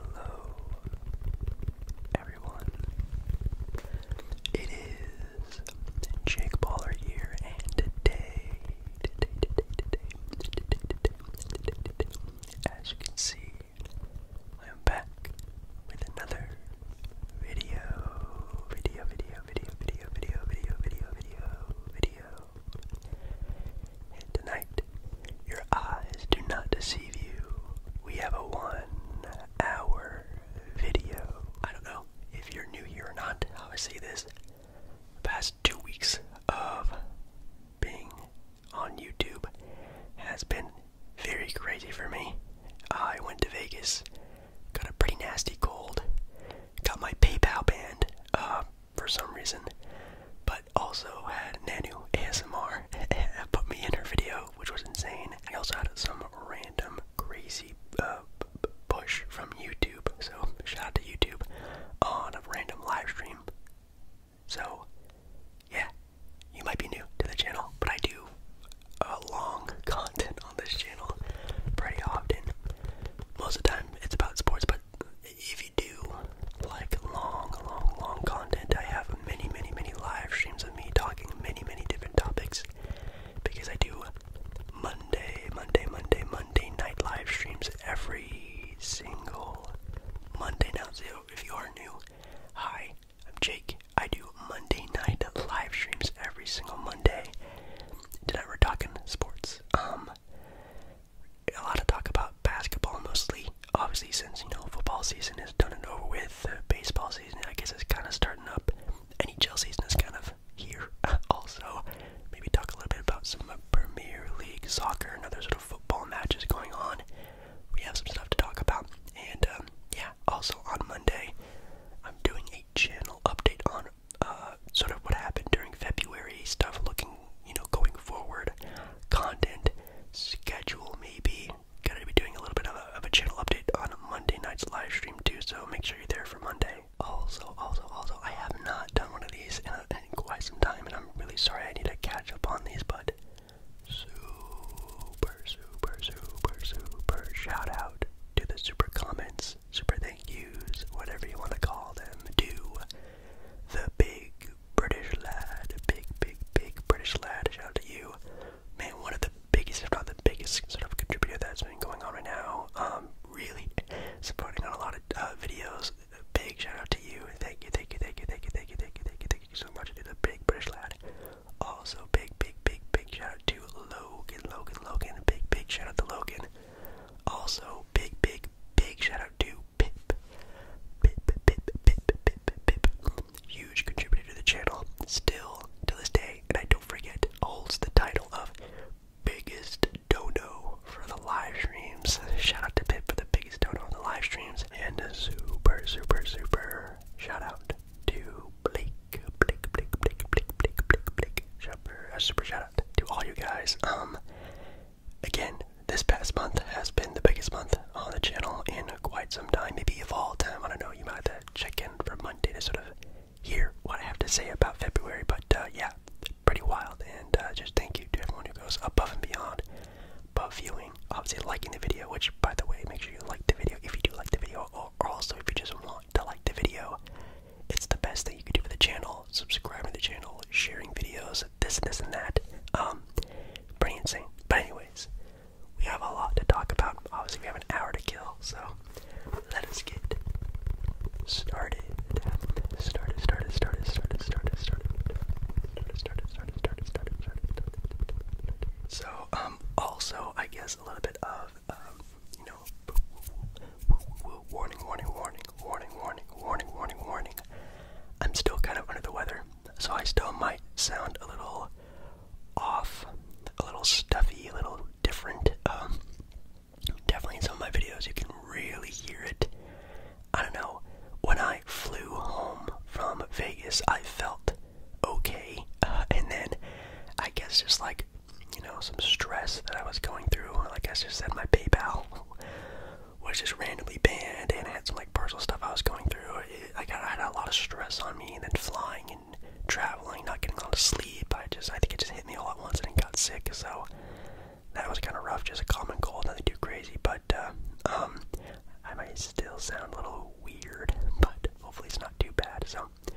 hello, everyone. It is Jake Baller here, and today, today, today, today, today, today, today, today, as you can see, I am back with another Video, video, video, video, video, video, video, video, video, video. And tonight, your eyes do not deceive you. We have a one-hour video. I don't know if you're new here or not. How I say this, the past two weeks of being on YouTube has been very crazy for me. I went to Vegas. Got a pretty nasty cold. Got my PayPal banned uh, for some reason, but also had Nanu ASMR put me in her video, which was insane. I also had some random crazy uh, push from YouTube, so shout out to YouTube on a random live stream. So, yeah, you might be new to the channel, but I do long content on this channel pretty often. Most of the time, it's about sports, but if you do like long, long, long content, I have many, many, many live streams of me talking many, many different topics because I do Monday, Monday, Monday, Monday night live streams every single Monday. Now, so if you are new, hi, I'm Jake. I do Monday night live streams every single Monday did we're talking sports. Um, a lot of talk about basketball mostly. Obviously, since you know football season is done and over with, baseball season I guess is kind of starting up. NHL season is kind of here. also, maybe talk a little bit about some Premier League soccer and other sort of football matches going on. We have some stuff to talk about, and um, yeah. Also on Monday, I'm doing a channel update on uh, sort of what happened during February, stuff looking, you know, going forward, content, schedule maybe. Gonna be doing a little bit of a, of a channel update on Monday night's live stream too, so make sure you're there for Monday. Also, also, also, I have not done one of these in, a, in quite some time, and I'm really sorry I need to catch up on these, but super, super, super, super shout out to the super comments super thank yous, whatever you want to call them, to the big British lad, big, big, big British lad. Shout out to you, man. One of the biggest, if not the biggest, sort of contributor that's been going on right now. Um, really supporting on a lot of uh, videos. Big shout out to you. Thank you, thank you, thank you, thank you, thank you, thank you, thank you, thank you so much to the big British lad. Also, big, big, big, big shout out Logan, Logan, Logan. Big, big shout out to Logan. Also, big, big, big shout out to Pip. Pip, Pip, Pip, Pip, Pip, Pip. Huge contributor to the channel, still to this day, and I don't forget, holds the title of biggest dodo for the live streams. Shout out to Pip for the biggest dodo on the live streams, and a super, super, super shout out to Blake, Blake, Blake, Blake, Blake, Blake, Blake, Blake. Shopper, a super shout out to all you guys. Um, again, this past month has been the biggest month on the channel in quite some time, maybe of all time. I don't know. You might have to check in for Monday to sort of hear what I have to say about February. But uh, yeah, pretty wild. And uh, just thank you to everyone who goes above and beyond. Above viewing, obviously liking the video, which by the way, make sure you like the video if you do like the video, or also if you just want channel to like the video. It's the best thing you can do for the channel. Subscribing to the channel, sharing videos, this, and this, and that. Um, pretty insane. But anyways, we have a lot to talk about. Obviously, we have an hour to kill, so let us get started. Started, started, started, started, started, started, started, started, started, started, started, started, So, um, also, I guess a little bit of, you um, know know. Warning, warning, warning, warning, warning, warning, warning, warning. I'm still kind of under the weather, so I still might sound a little off, a little stuffy, a little different. Um, definitely in some of my videos you can really hear it. I don't know. When I flew home from Vegas, I felt okay, uh, and then I guess just like like, you know, some stress that I was going through. Like I just said, my PayPal was just randomly banned, and I had some like personal stuff I was going through. It, I got I had a lot of stress on me, and then flying and traveling, not getting a lot of sleep. I just I think it just hit me all at once, and it got sick. So that was kind of rough. Just a common cold, nothing too crazy, but uh, um, I might still sound a little weird, but hopefully it's not too bad. So um,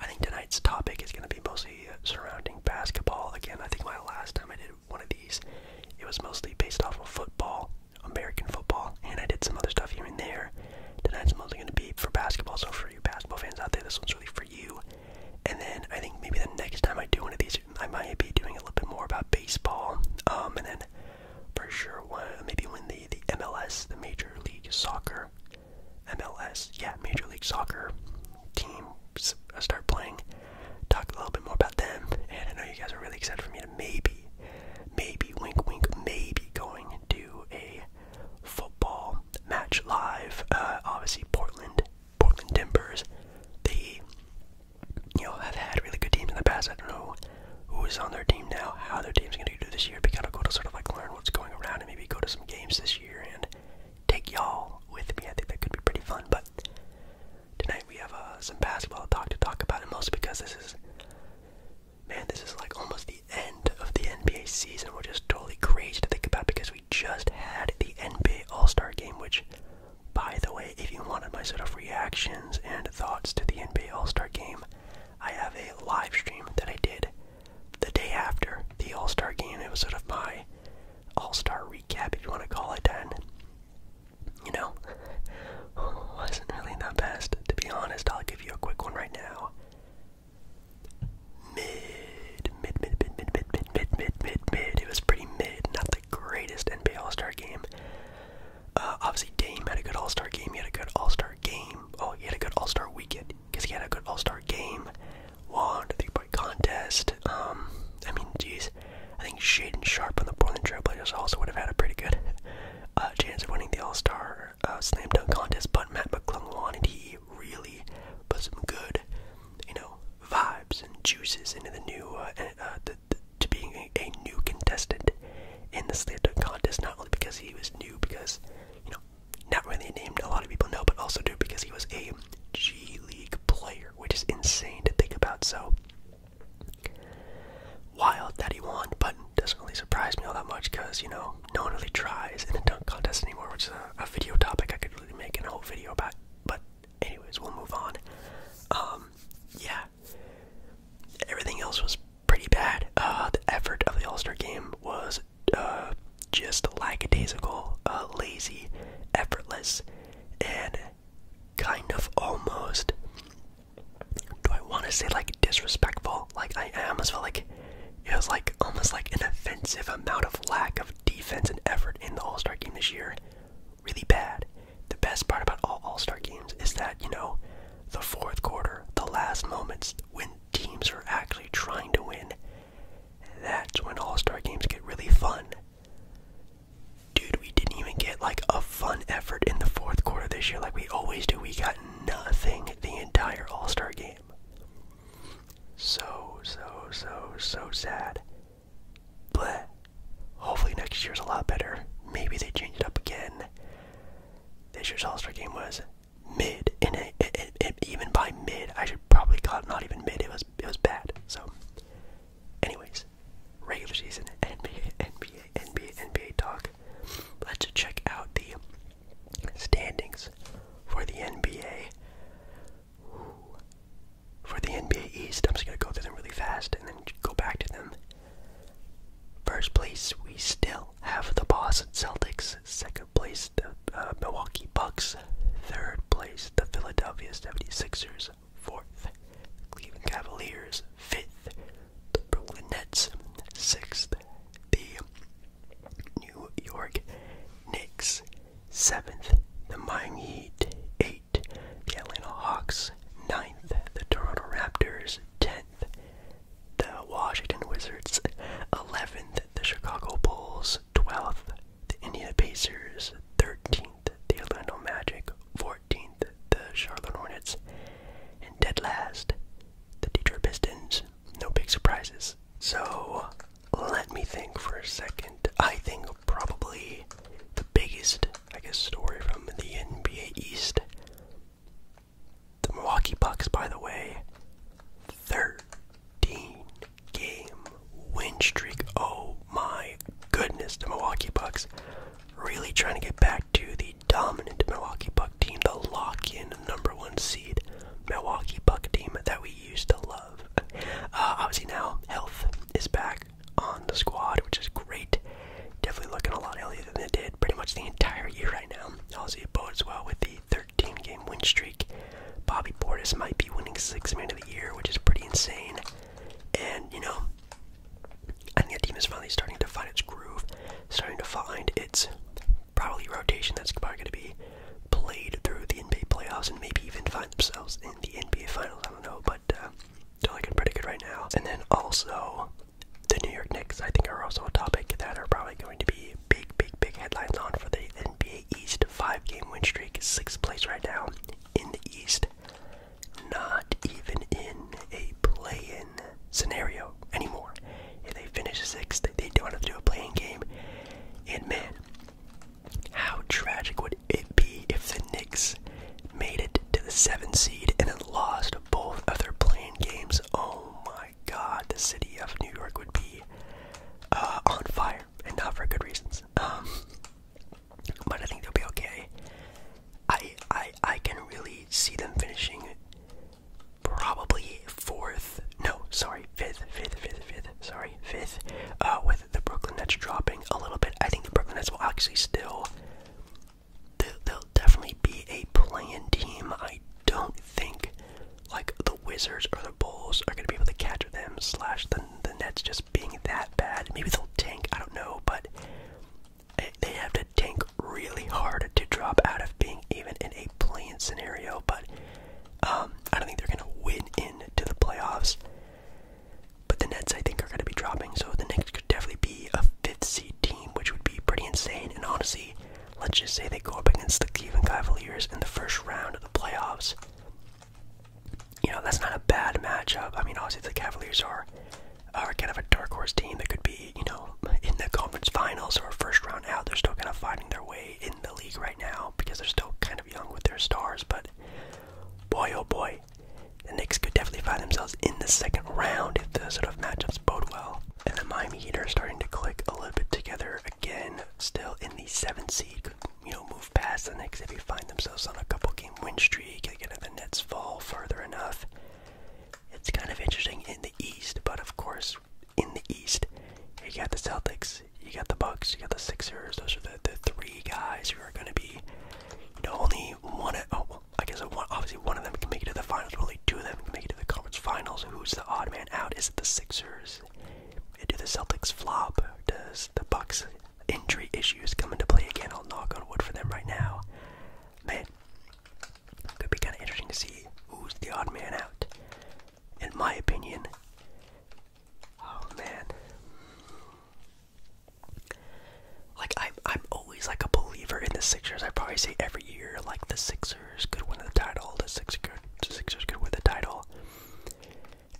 I think tonight's topic is going to be mostly uh, surrounding basketball. Again, I think my last time I did one of these, it was mostly based off of football, American football, and I did some other stuff here and there. Tonight's mostly going to be for basketball, so for you basketball fans out there, this one's really for you. And then I think maybe the next time I do one of these, I might be doing a little bit more about baseball. Um, and then for sure, one, maybe when the, the MLS, the Major League Soccer, MLS, yeah, Major League Soccer teams uh, start playing. Talk a little bit more about them, and I know you guys are really excited for me to maybe, maybe, wink, wink, maybe going to a football match live. Uh, obviously, Portland, Portland Timbers, they, you know, have had really good teams in the past. I don't know who is on their team now, how their team's going to do this year. Be kind of go to sort of like learn what's going around and maybe go to some games this year take y'all with me. I think that could be pretty fun. But tonight we have uh, some basketball talk to talk about, and mostly because this is, man, this is like almost the end of the NBA season, We're just totally crazy to think about because we just had the NBA All Star game, which, by the way, if you wanted my sort of reactions and thoughts to the NBA All Star game, I have a live stream that I did the day after the All Star game. It was sort of my All Star recap, if you want to call it that. You know, wasn't really the best, to be honest. I'll give you a quick one right now. Mid, mid, mid, mid, mid, mid, mid, mid, mid, mid, mid. It was pretty mid, not the greatest NBA All Star game. Uh, obviously, Dame had a good All Star game. He had a good All Star game. Oh, he had a good All-Star weekend because he had a good All-Star game. Won the three-point contest. Um, I mean, jeez, I think Shaden Sharp on the Portland Trailblazers also would have had a pretty good uh, chance of winning the All-Star uh, slam dunk contest. But Matt McClung and he really put some good, you know, vibes and juices into the new uh, uh the, to being a new contestant in the slam dunk contest. Not only because he was new, because you know not really a name a lot of people know, but also do because he was a G League player, which is insane to think about. So wild that he won, but doesn't really surprise me all that much because, you know, no one really tries in the dunk contest anymore, which is a, video topic I could really make in a whole video about. But, anyways, we'll move on. Um, yeah. Everything else was pretty bad. Uh, the effort of the All Star game was uh, just lackadaisical, uh, lazy, effortless, and kind of almost. Do I want to say like disrespectful? Like I, almost felt like it was like almost like an offensive amount of lack of defense and effort in the All Star game this year. Really bad. The best part about all All Star games is that you know, the fourth quarter, the last moments when teams are actually trying to win, that's when All Star games get really fun. Dude, we didn't even get like a fun effort in the fourth quarter this year like we always do. We got nothing the entire All Star game. So, so, so, so sad. But hopefully next year's a lot better. Maybe they change it up again. This year's All Star game was mid, and even by mid, I should probably call it not even mid. It was it was bad. So, anyways, regular season NBA, NBA, NBA, NBA talk. Let's check out the standings for the NBA. For the NBA East, I'm just gonna go through them really fast and then go back to them. First place, we still have the Boston Celtics. Second Second place, the uh, Milwaukee Bucks. Third place, the Philadelphia 76ers. Fourth, Cleveland Cavaliers. Fifth, the Brooklyn Nets. Sixth, the New York Knicks. Seventh, the Miami Heat. Eight, the Atlanta Hawks. Ninth, the Toronto Raptors. Tenth, the Washington Wizards, 11th, the Chicago Bulls, 12th, the Indiana Pacers, 13th, the Orlando Magic, 14th, the Charlotte Hornets, and dead last, the Detroit Pistons. No big surprises. So, let me think for a second. I think probably the biggest, I guess, story from the NBA East the Milwaukee Bucks, by the way, 13 game win streak. Oh my goodness, the Milwaukee Bucks really trying to get back to the dominant Milwaukee Buck team, the lock in number one seed Milwaukee Buck team that we used to love. Uh, obviously, now health is back on the squad, which is great. Definitely looking a lot healthier than it did pretty much the entire year right now. Obviously, it bodes well with the 13 game win streak. Bobby Portis might be winning sixth man of the year, which is pretty insane. And, you know, I the team is finally starting to find its groove, starting to find its probably rotation that's probably going to be played through the NBA playoffs and maybe even find themselves in the NBA finals. I don't know, but uh, they looking pretty good right now. And then also, the New York Knicks, I think, are also a topic that are probably going to be big, big, big headlines on for the the NBA East five game win streak, sixth place right now in the East. Not even in a play in scenario anymore. If they finish sixth, they don't have to do a play in game. And man, how tragic would it be if the Knicks made it to the seventh seed and then lost both of their playing games? Oh my god, the city of New York would be uh, on fire, and not for good reasons. Um, but I think they'll be okay. I I I can really see them finishing probably fourth. No, sorry, fifth, fifth, fifth, fifth. Sorry, fifth. Uh, with the Brooklyn Nets dropping a little bit, I think the Brooklyn Nets will actually still. They'll, definitely be a playing team. I don't think like the Wizards or the Bulls are going to be able to catch them, slash the, the Nets just being that bad. Maybe they'll tank, I don't know, but they have to tank really hard to drop out of being even in a playing scenario. But um, I don't think they're going to win into the playoffs. But the Nets, I think, are going to be dropping, so the Nets could definitely be a fifth seed team, which would be pretty insane. And honestly, Let's just say they go up against the Cleveland Cavaliers in the first round of the playoffs. You know, that's not a bad matchup. I mean, obviously, the Cavaliers are, are kind of a dark horse team that could be, you know, in the conference finals or first round out. They're still kind of finding their way in the league right now because they're still kind of young with their stars. But boy, oh boy, the Knicks could definitely find themselves in the second round if the sort of matchups bode well. And the Miami Heat are starting to click a little bit together again, still in the seventh seed. You know, move past the next if you find themselves on a couple game win streak. Again, if the Nets fall further enough, it's kind of interesting in the East. But of course, in the East, you got the Celtics, you got the Bucks, you got the Sixers. Those are the, the three guys who are going to be. You know, only one. Of, oh, I guess obviously one of them can make it to the finals. But only two of them can make it to the conference finals. Who's the odd man out? Is it the Sixers? do the Celtics flop? Does the Bucks injury issues come into play again? I'll knock on wood for them right now. Man, could be kind of interesting to see who's the odd man out. In my opinion, oh man, like I'm, I'm always like a believer in the Sixers. I probably say every year like the Sixers Sixers could win the title. The Sixers could, Sixers could the title.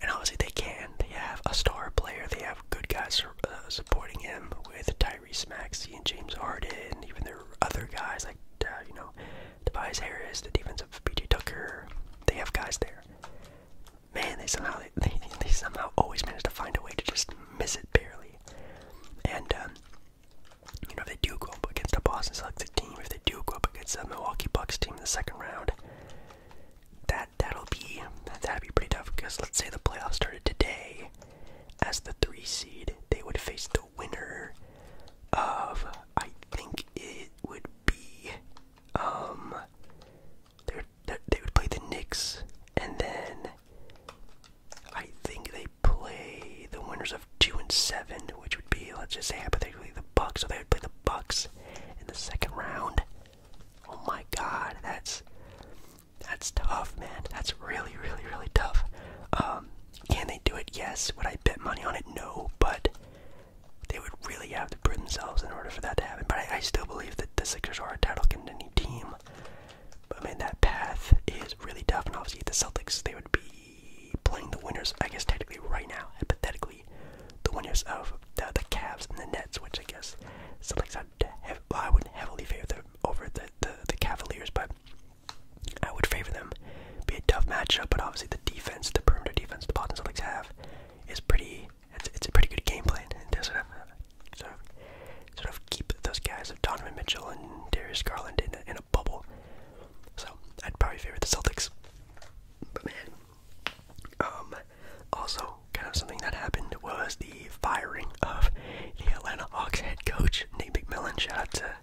And obviously they can. They have a star player. They have good guys uh, supporting him with Tyrese Maxey and James Harden. Even their other guys like uh, you know Tobias Harris, the defense of PJ Tucker. They have guys there. Man, they somehow they, somehow always manage to find a way to just miss it barely. And um, you know, if they do go up against the Boston Celtics team, if they do go up against the Milwaukee Bucks team in the second round, that that'll be that'd be pretty tough. Because let's say the playoffs started today, as the three seed, they would face the winner of I think it would be um they would, they would play the Knicks and then. I think they play the winners of two and seven, which would be, let's just say hypothetically, the Bucks. So they would play the Bucks in the second round. Oh my God, that's that's tough, man. That's really, really, really tough. Um, can they do it? Yes. Would I bet money on it? No. But they would really have to prove themselves in order for that to happen. But I, still believe that the Sixers are a title contending team. But man, that path is really tough. And obviously, the Celtics, they would be playing the winners, I guess technically right now, hypothetically, the winners of the, the Cavs and the Nets, which I guess something's not well, I would heavily favor them over the, the, the Cavaliers, but I would favor them. Be a tough matchup, but obviously the defense, the perimeter defense the Boston Celtics have is pretty it's it's a pretty good game plan and to sort of sort of sort of keep those guys of Donovan Mitchell and Darius Garland in in a bubble. So I'd probably favor the Celtics. But man, um, also kind of something that happened was the firing of the Atlanta Hawks head coach Nate McMillan. Shout out to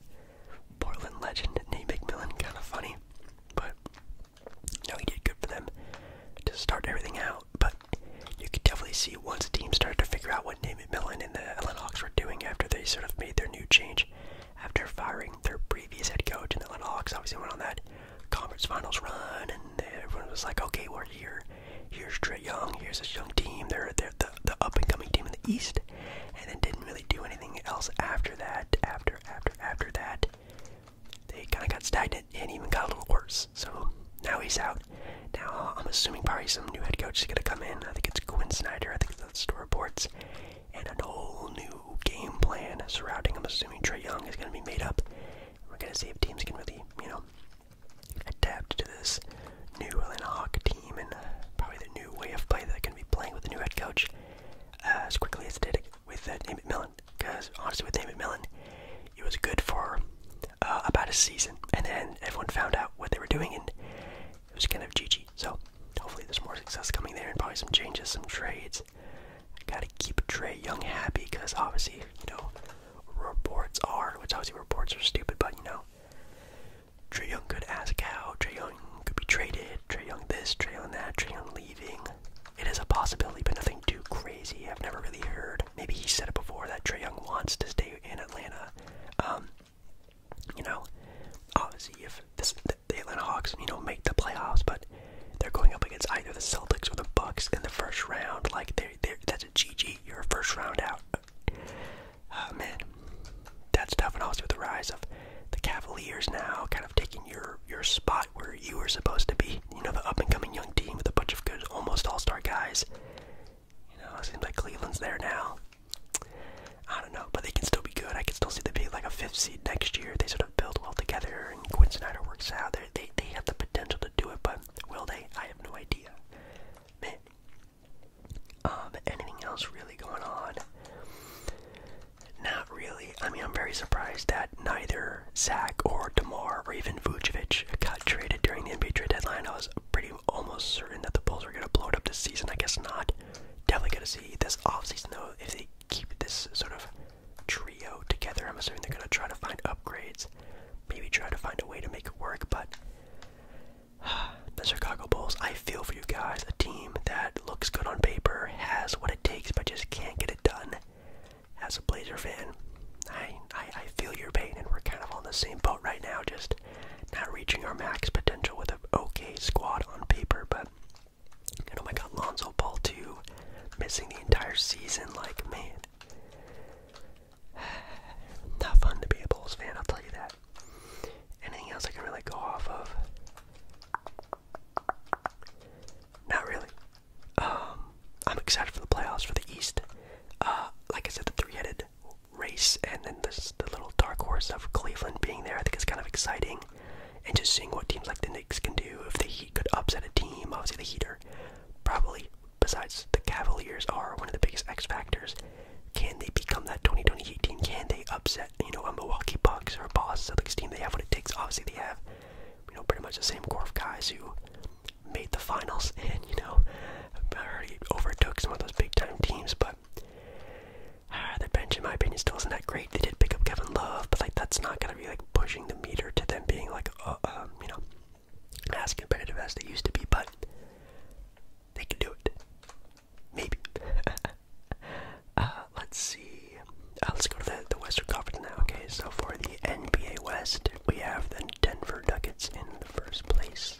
Portland legend Nate McMillan. Kind of funny, but no, he did good for them to start everything out. But you could definitely see once the team started to figure out what Nate McMillan and the Atlanta Hawks were doing after they sort of made their new change after firing their previous head coach, and the Atlanta Hawks obviously went on that conference finals run, and everyone was like, "Okay, we're here. Here's Trey Young. Here's this young team. They're they're the, the up and coming team in the East," and then didn't really do anything else after that. After after after that, they kind of got stagnant and even got a little worse. So now he's out. Now I'm assuming probably some new head coach is going to come in. I think it's Quinn Snyder. I think that's the reports and a whole new game plan surrounding I'm Assuming Trey Young is going to be made up, we're going to see if teams can really, you know, adapt to this new Atlanta Hawk team and uh, probably the new way of play that they're going to be playing with the new head coach uh, as quickly as they did with uh, David Millen. Because honestly, with David Millen, it was good for uh, about a season, and then everyone found out what they were doing, and it was kind of GG. So hopefully there's more success coming there and probably some changes, some trades. I gotta keep Trey Young happy because obviously, you know, reports are, which obviously reports are stupid, but you know, Trey Young could ask out, Trey Young could be traded, Trey Young this, Trey Young that, Trey Young leaving. It is a possibility, but nothing too crazy. I've never really heard. Maybe he said it before that Trey Young wants to stay in Atlanta. Um, you know, obviously, if this the Atlanta Hawks, you know, make the playoffs, but they're going up against either the Celtics or the Bucks in the first round. Like, they that's a GG. You're a first round out. Uh, man, that's tough. And also with the rise of the Cavaliers now, kind of taking your your spot where you were supposed to be. You know, the up and coming young team with a bunch of good, almost all star guys. You know, it seems like Cleveland's there now. I don't know, but they can still be good. I can still see them being like a fifth seed next year. They sort of build well together, and Quinn Snyder works out. they they they have the potential to do it, but will they? I have no idea. Um, anything else really going on? Not really. I mean, I'm very surprised that neither Zach or Demar or even Vucevic got traded during the NBA trade deadline. I was pretty almost certain that the Bulls were going to blow it up this season. I guess not. Definitely gonna see this off season though, if they keep this sort of trio together. I'm assuming they're gonna try to find upgrades, maybe try to find a way to make it work, but the Chicago Bulls, I feel for you guys. A team that looks good on paper, has what it takes, but just can't get it done. As a Blazer fan, I, I feel your pain, and we're kind of on the same boat right now, just not reaching our max potential with an okay squad on paper, but oh my god, Lonzo Ball too, missing the entire season. Like, man, not fun to be a Bulls fan. I'll tell you that. Anything else I can really go off of? Not really. Um, I'm excited for the playoffs for the East. Uh, like I said, the three-headed race, and then this the little dark horse of Cleveland being there. I think it's kind of exciting and just seeing what teams like the Knicks can do if the Heat could upset a team. Obviously, the Heat are probably, besides the Cavaliers, are one of the biggest X factors. Can they become that 2020 Heat team? Can they upset, you know, a Milwaukee Bucks or a Boston Celtics team? They have what it takes. Obviously, they have, you know, pretty much the same core of guys who made the finals and, you know, already overtook some of those big time teams, but uh, ah, their bench, in my opinion, still isn't that great. They did pick up Kevin Love, but like that's not gonna be like pushing the meter to them being like, uh, um, you know, as competitive as they used to be. But they can do it, maybe. uh, let's see. Uh, let's go to the, the Western Conference now. Okay, so for the NBA West, we have the Denver Nuggets in the first place,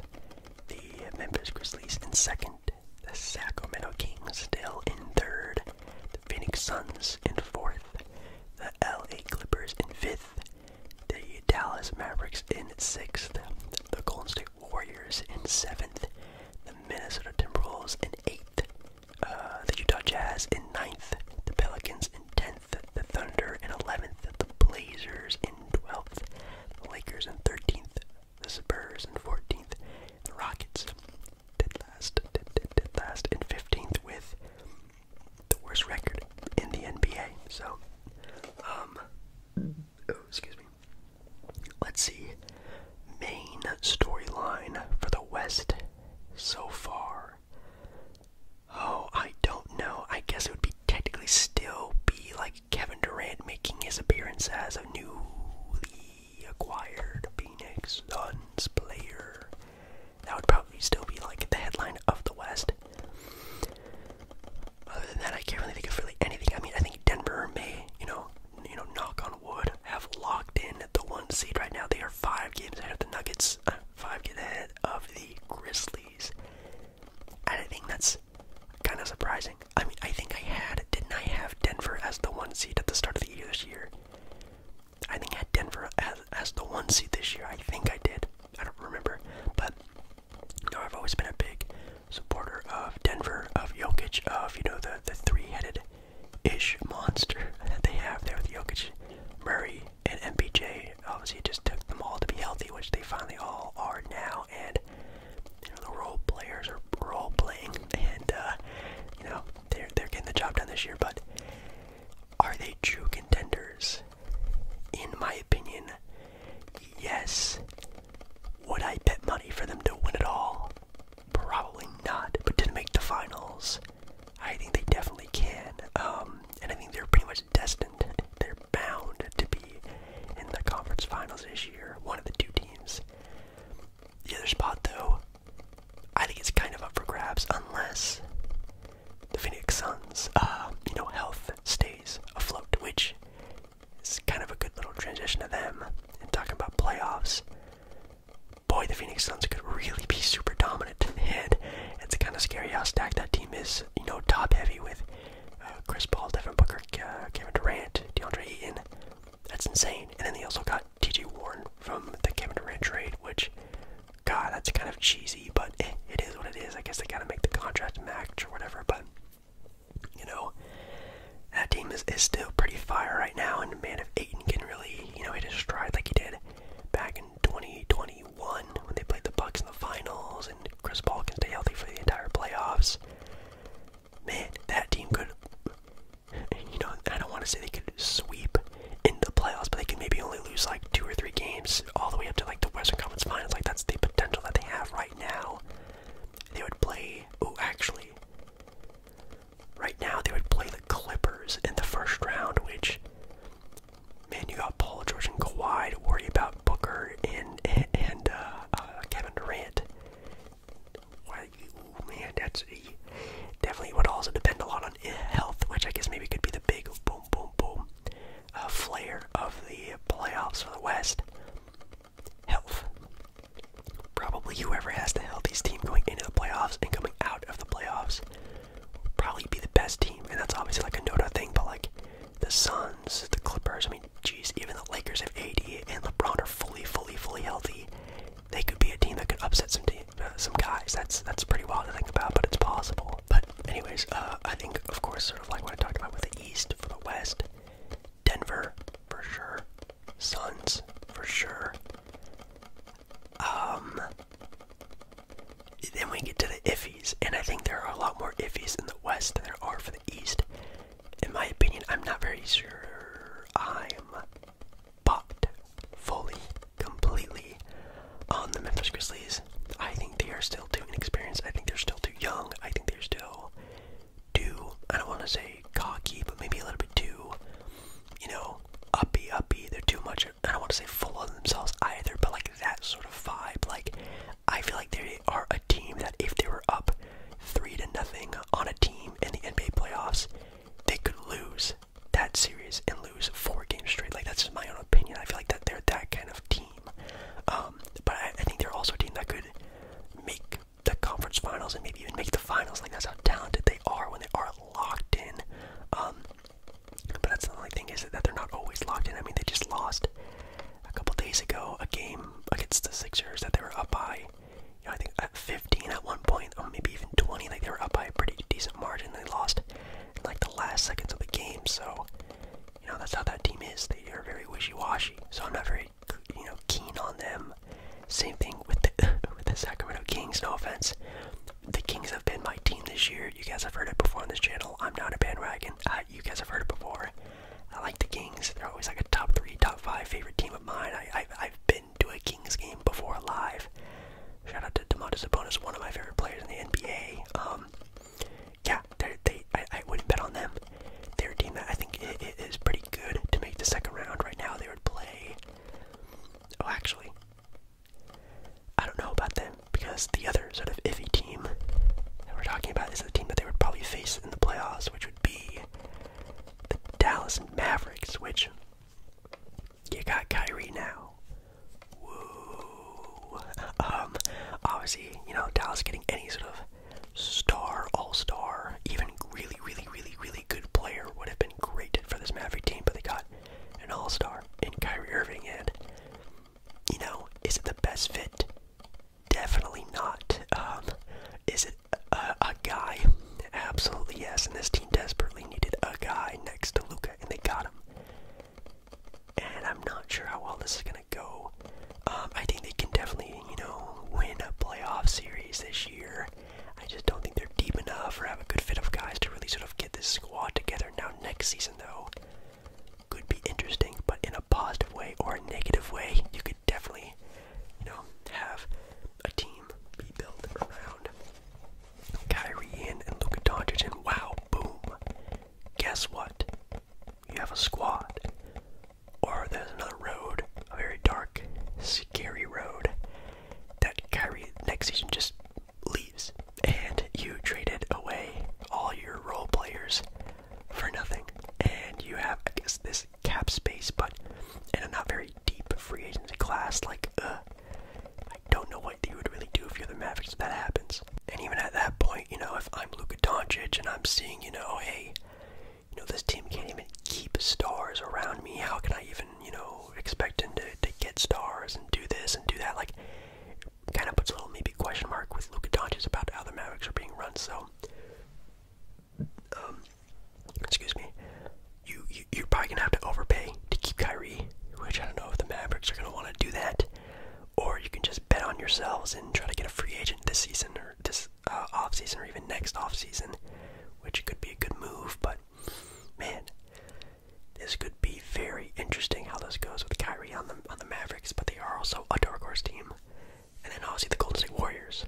the Memphis Grizzlies in second, the Sacramento Kings still in third. The Phoenix Suns in fourth. The LA Clippers in fifth. The Dallas Mavericks in sixth. The Golden State Warriors in seventh. The Minnesota Timberwolves in eighth. Uh, the Utah Jazz in ninth. The Pelicans in tenth. The Thunder in eleventh. The Blazers in twelfth. The Lakers in thirteenth the Spurs in 14th, the Rockets did last, did, did, did last in 15th with the worst record in the NBA. So, um, oh, excuse me. Let's see. Main storyline for the West so far. Oh, I don't know. I guess it would be technically still be like Kevin Durant making his appearance as a newly acquired Phoenix Suns player. That would probably still be like the headline of the West. Other than that, I can't really think of really anything. I mean, I think Denver may, you know, you know, knock on wood, have locked in the one seed right now. They are five games ahead of the Nuggets, uh, five games ahead of the Grizzlies. I don't think that's kind of surprising. I mean, I think I had, didn't I have Denver as the one seed at the start of the year this year? I think I had Denver as, as the one seed this year. I think I did. I don't remember. But, you know, I've always been a big supporter of Denver, of Jokic, of, you know, the, the three-headed-ish monster that they have there with Jokic, Murray, and MPJ. Obviously, it just took them all to be healthy, which they finally all are now. And, you know, the role players are they're role playing, and uh, you know they're they're getting the job done this year. But are they true contenders? In my opinion, yes. Would I bet money for them to win it all? Probably not. But to make the finals, I think they definitely can. Um, and I think they're pretty much destined. They're bound to be in the conference finals this year. One of the two teams. The other spot, though, I think it's kind of up for grabs unless the Phoenix Suns, uh, you know, health stays afloat, which is kind of a good little transition to them. And talking about playoffs, boy, the Phoenix Suns could really be super dominant, and it's kind of scary how stacked that team is. You know, top heavy with uh, Chris Paul, Devin Booker, Kevin Durant, DeAndre Eaton, that's insane. And then they also got TJ Warren from the Kevin Durant trade, which, God, that's kind of cheesy, but eh, it is what it is. I guess they gotta make the contract match or whatever, but, you know, that team is, is still pretty fire right now, and man, if Aiton can really, you know, hit his stride like he did back in 2021 when they played the Bucks in the finals, and Chris Paul can stay healthy for the entire playoffs, man, that team could, you know, I don't want to say they could sweep in the playoffs, but they could maybe only lose like two or three games all the way up to like the Western Conference Finals. Like that's the potential that they have right now. They would play. Oh, actually, right now they would play the Clippers in the first round, which. Man, you got Paul George and Kawhi to worry about Booker and and, uh, uh, Kevin Durant, man, that's a, definitely would also depend a lot on health, which I guess maybe could be the big boom, boom, boom uh, flair of the playoffs for the West. Health. Probably whoever has the healthiest team going into the playoffs and coming out of the playoffs probably be the best team, and that's obviously like a no-no thing. But like the Suns, the Clippers, I mean, jeez, even the Lakers have AD and LeBron are fully, fully, fully healthy, they could be a team that could upset some team, uh, some guys. That's that's pretty wild to think about, but it's possible. But anyways, uh, I think of course, sort of like what I talked about with the East for the West, Denver for sure, Suns for sure. Um, then we get to the iffies, and I think there are a lot more iffies in the West than there are for the East in my opinion, I'm not very sure I'm bought fully, completely on the Memphis Grizzlies. I think they are still too inexperienced. I think they're still too young. I think they're still too, I don't want to say cocky, but maybe a little bit too, you know, uppy, uppy. They're too much, I don't want to say full on themselves either, but like that sort of vibe. Like, I feel like they are a team that if they were up three to nothing on a team in the NBA playoffs, they could lose that series and lose four games straight. Like that's just my own opinion. I feel like that they're that kind of team. Um, but I, think they're also a team that could make the conference finals and maybe even make the finals. Like that's how talented they are when they are locked in. Um, but that's the only thing is that they're not always locked in. I mean, they just lost a couple days ago a game against the Sixers that they were up by you know, I think at 15 at one point, or maybe even 20, like they were up by a pretty decent margin. They lost like the last seconds of the game. So, you know, that's how that team is. They are very wishy-washy. So I'm not very, you know, keen on them. Same thing with the with the Sacramento Kings. No offense, the Kings have been my team this year. You guys have heard it before on this channel. I'm not a bandwagon. Uh, you guys have heard it before. I like the Kings. They're always like a top three, top five favorite team of mine. I, I I've been been to a Kings game before live. Shout out to Demontis Sabonis, one of my favorite players in the NBA. Um, yeah, they I, I wouldn't bet on them. They're a team that I think it, it is pretty good to make the second round. Right now, they would play. Oh, actually, I don't know about them because the other sort of iffy team that we're talking about is the team that they would probably face in the playoffs, which would be the Dallas Mavericks, which you got Kyrie now. Whoa. Um, obviously, you know, Dallas getting any sort of star, all star, even really, really, really, really good player would have been great for this Maverick team, but they got an all star in Kyrie Irving, and, you know, is it the best fit? Definitely not. Um, is it a guy. Absolutely yes. And this team desperately needed a guy next to Luca, and they got him. And I'm not sure how well this is gonna go. Um, I think they can definitely, you know, win a playoff series this year. I just don't think they're deep enough or have a good fit of guys to really sort of get this squad together. Now next season though could be interesting, but in a positive way or a negative way, you could definitely, you know, have a team be built around Kyrie and Luka Doncic, and wow, boom! Guess what? You have a squad, or there's another road, a very dark, scary road that Kyrie next season just leaves, and you traded away all your role players for nothing, and you have, I guess, this cap space, but in a not very deep free agency class, like, uh, I don't know what you would really do if you're the Mavericks if that happens. And even at that point, you know, if I'm Luka Doncic and I'm seeing, you know, hey, you know, this team can't even keep stars around me, how can I even, you know, expect him to, to get stars and do this and do that? Like, kind of puts a little maybe question mark with Luka Doncic about how the Mavericks are being run, so um, excuse me, you, you you're probably gonna have to overpay to keep Kyrie, which I don't know if the Mavericks are gonna want to do that, or you can just bet on yourselves and try to get a free agent this season or this uh, off season or even next off season, which could be a good move. But man, this could be very interesting how this goes with Kyrie on the on the Mavericks, but they are also a dark horse team. And then obviously the Golden State Warriors,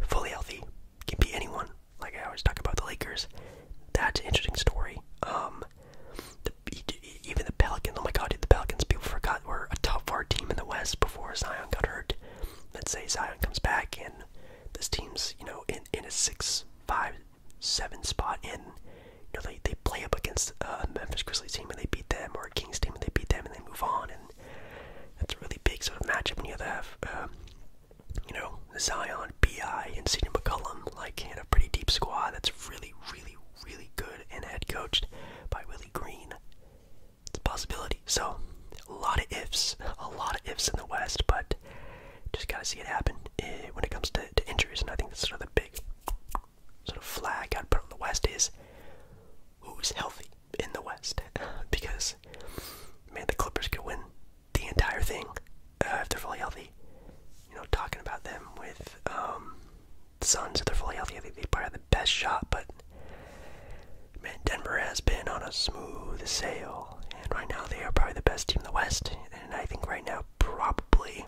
fully healthy, can be anyone. Like I always talk about the Lakers. That's an interesting story. Um, even the Pelicans. Oh my God, the Pelicans. People forgot were a top four team in the West before Zion got hurt. Let's say Zion comes back and this team's you know in in a six five seven spot in. You know they they play up against a Memphis Grizzlies team and they beat them or a Kings team and they beat them and they move on and that's a really big sort of matchup when you have, um, you know, Zion, Bi, and Sidney McCollum, like in a pretty deep squad that's really, really, really good and head coached by Willie Green. It's a possibility. So a lot of ifs, a lot of ifs in the West, but just gotta see it happen eh, when it comes to, injuries. And I think that's sort of the big sort of flag i put on the West is who's healthy in the West because man, the Clippers could win the entire thing uh, if they're fully healthy. You know, talking about them with the um, Suns, if they're fully healthy, I think they probably have the best shot. But man, Denver has been on a smooth sail, and right now they are probably the best team in the West. And I think right now probably.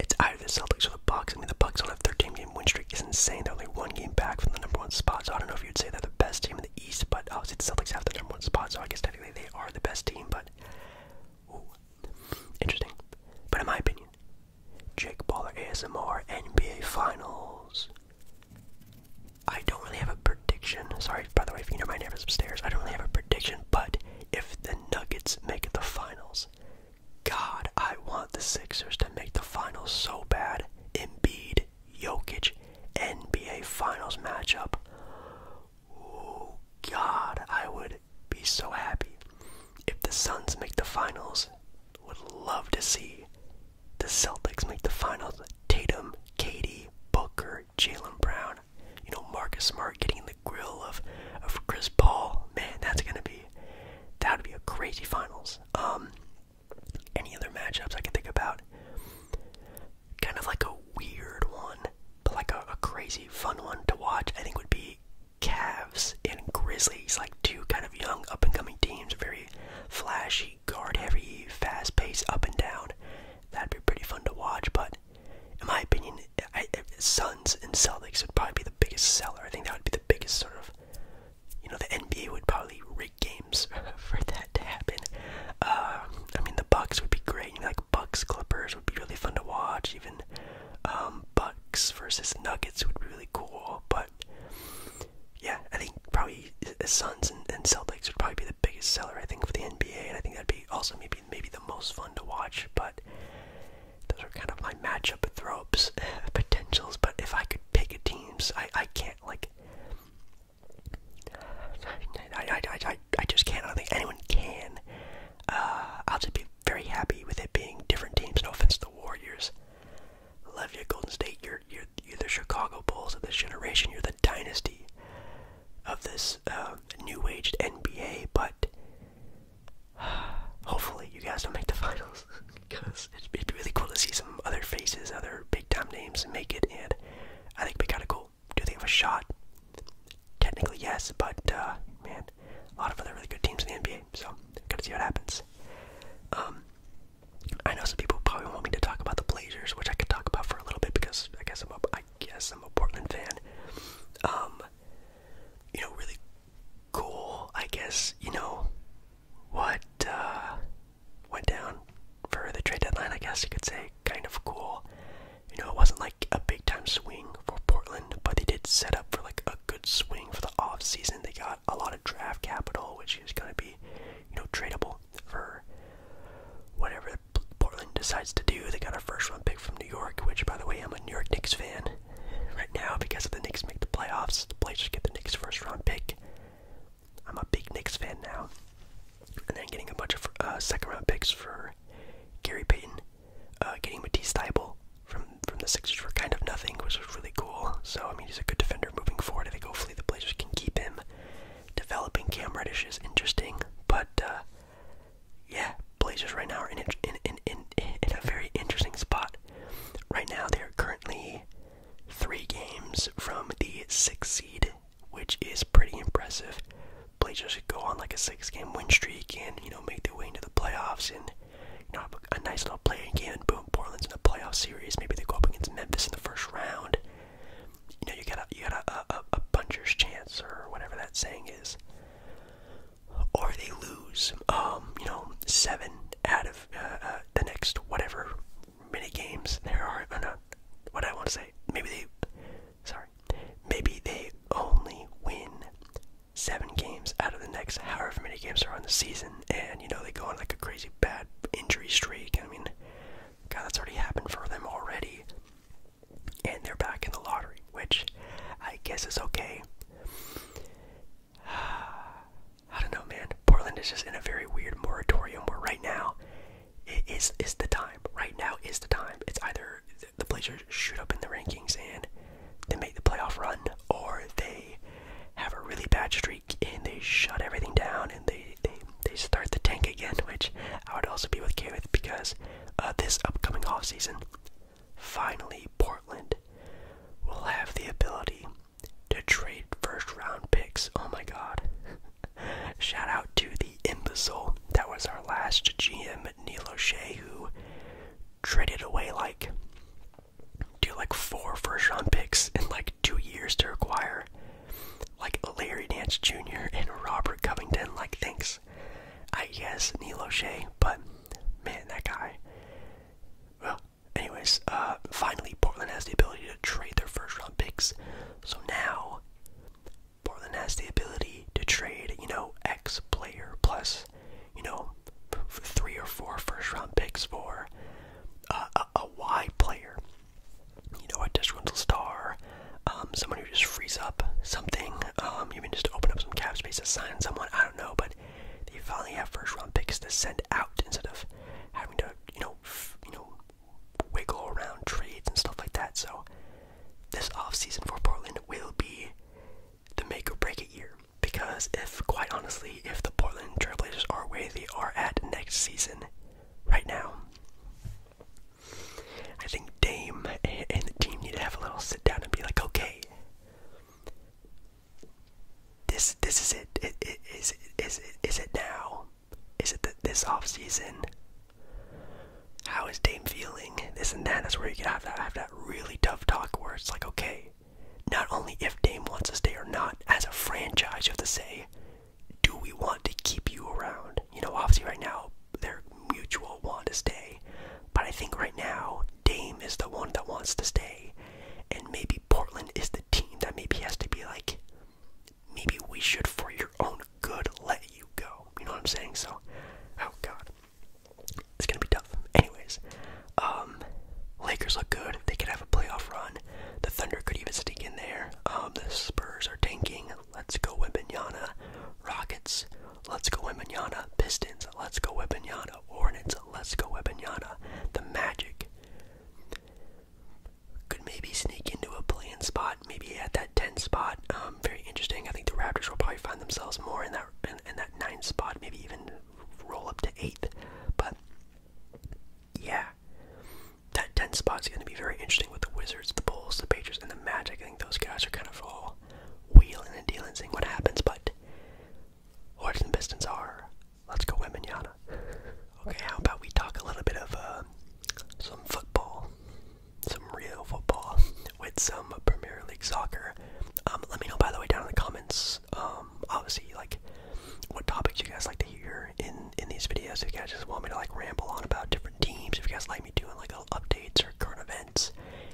It's either the Celtics or the Bucks. I mean, the Bucks don't have thirteen. team game win streak is insane. They're only one game back from the number one spot. So I don't know if you'd say they're the best team in the East, but obviously the Celtics have the number one spot, so I guess technically they are the best team. But interesting. But in my opinion, Jake Baller ASMR NBA Finals. I don't really have a prediction. Sorry, by the way, if you know my neighbors upstairs, I don't really have a prediction. But if the Nuggets make it the finals, God, I want the Sixers to make the finals so bad. Embiid Jokic NBA Finals matchup. Oh, God, I would be so happy. If the Suns make the finals, would love to see the Celtics make the finals. Tatum, Katie, Booker, Jalen Brown, you know, Marcus Smart getting in the grill of, of Chris Paul. Man, that's gonna be that would be a crazy finals. Um any other matchups I can think about. Kind of like a weird one, but like a, crazy fun one to watch, I think would be Cavs and Grizzlies, like two kind of young up and coming teams, very flashy, guard heavy, fast paced, up and down. That'd be pretty fun to watch, but in my opinion, I, Suns and Celtics would probably be the biggest seller. I think that would be the biggest sort of you know, the NBA would probably rig games for that to happen. Uh, I mean, the Bucks would be great. You know, like Bucks Clippers would be really fun to watch. Even um, Bucks versus Nuggets would be really cool. But yeah, I think probably Suns and, and Celtics would probably be the biggest seller. I think for the NBA, and I think that'd be also maybe maybe the most fun to watch. But those are kind of my matchup throws potentials. But if I could pick a teams, I I can't like I, just can't. I don't think anyone can. Uh, I'll just be very happy with it being different teams. No offense to the Warriors. Love you, Golden State. You're, you're, the Chicago Bulls of this generation. You're the dynasty of this uh, new-aged NBA. But hopefully, you guys don't make the finals because it'd, be really cool to see some other faces, other big time names make it, and I think it'd be kind of cool. Do they have a shot? Technically, yes, but uh, man, a lot of other really good teams in the NBA, so gotta see what happens. Um, I know some people probably want me to talk about the Blazers, which I could talk about for a little bit because I guess I'm a, I guess I'm a Portland fan. Um, you know, really cool. I guess you know what uh, went down for the trade deadline, I guess you could say. Kind of cool. You know, it wasn't like a big time swing for Portland, but they did set up for like a good swing for the off season. They got a lot of draft capital, which is going to be, you know, tradable for whatever Portland decides to do. They got a first round pick from New York, which, by the way, I'm a New York Knicks fan right now because if the Knicks make the playoffs, the Blazers get the Knicks first round pick. I'm a big Knicks fan now. And then getting a bunch of uh, second round picks for Gary Payton, uh, getting Matisse Thybulle from from the Sixers for kind of nothing, which was really cool. So I mean, he's a good defender moving forward. I think hopefully the Blazers can keep him. Developing Cam Reddish is interesting, but uh, yeah, Blazers right now are in in in in a very interesting spot. Right now, they are currently three games from the six seed, which is pretty impressive. Blazers could go on like a six-game win streak and you know make their way into the playoffs and you know have a nice little play again. boom, Portland's in the playoff series. Maybe they go up against Memphis in the first round. You know you got a you got a a, a puncher's chance or whatever that saying is. Or they lose, um, you know, seven out of uh, uh, the next whatever mini games there are. Oh no, what I want to say. Maybe they. Sorry. Maybe they only win seven games out of the next however many games are on the season, and you know they go on like a crazy bad injury streak. I mean, God, that's already happened for them already, and they're back in the lottery, which I guess is okay. I don't know, man. Portland is just in a very weird moratorium where right now it is is the time. Right now is the time. It's either the Blazers shoot up in the rankings and they make the playoff run, or they have a really bad streak and they shut everything down and they they, they start the tank again, which I would also be okay with because this upcoming off season, finally Portland will have the ability to trade first round picks. Oh my god. Shout out to the imbecile. That was our last GM, Neil O'Shea, who traded away like do like four first round picks in like two years to acquire like Larry Dance Jr. and Robert Covington. Like thanks. I guess Neil O'Shea, but man, that guy. Well, Anyways, uh, finally, Portland has the ability to trade their first round picks. So now, Portland has the ability to trade, you know, X player plus, you know, three or four first round picks for uh, a Y player. You know, a disgruntled star, um, someone who just frees up something, um, even just open up some cap space to sign someone, I don't know, but they finally have first round picks to send out instead of having to, you know, you know, wiggle around trades and stuff like that. So this off season for Portland will be the make or break it year. Because if, quite honestly, if the Portland Trailblazers are where they are at next season, right now, I think Dame and the team need to have a little sit down and be like, okay, this this is it. It, it is it is it is it now? Is it the, this off season? How is Dame feeling? This and That's where you can have that have that really tough talk where it's like, okay, not only if Dame wants to stay or not, as a franchise, you have to say, do we want to keep you around? You know, obviously right now they're mutual want to stay, but I think right now Dame is the one that wants to stay, and maybe Portland is the team that maybe has to be like, maybe we should, for your own good, let you go. You know what I'm saying? So, oh god, it's gonna be tough. Anyways, um, Lakers look good. They could have a playoff run. The Thunder could even sneak in there. Um, the Spurs are tanking. Let's go Wimbenyana. Rockets. Let's go Wimbenyana. Pistons. Let's go Wimbenyana. Hornets. Let's go Wimbenyana. The Magic could maybe sneak into a playing spot, maybe at that 10 spot. Um, very interesting. I think the Raptors will probably find themselves more in that in, that 9 spot, maybe even roll up to 8th. But yeah, that 10 spot's going to be very interesting with the Wizards, the Bulls, the Patriots, and the Magic. I think those guys are kind of all wheeling and dealing, seeing what happens. But Hornets and Pistons are Let's go Weminyana. Okay, how about we talk a little bit of uh, some football, some real football, with some Premier League soccer. Um, let me know by the way down in the comments. Um, obviously, like what topics you guys like to hear in in these videos. If you guys just want me to like ramble on about different teams, if you guys like me doing like little updates or current events,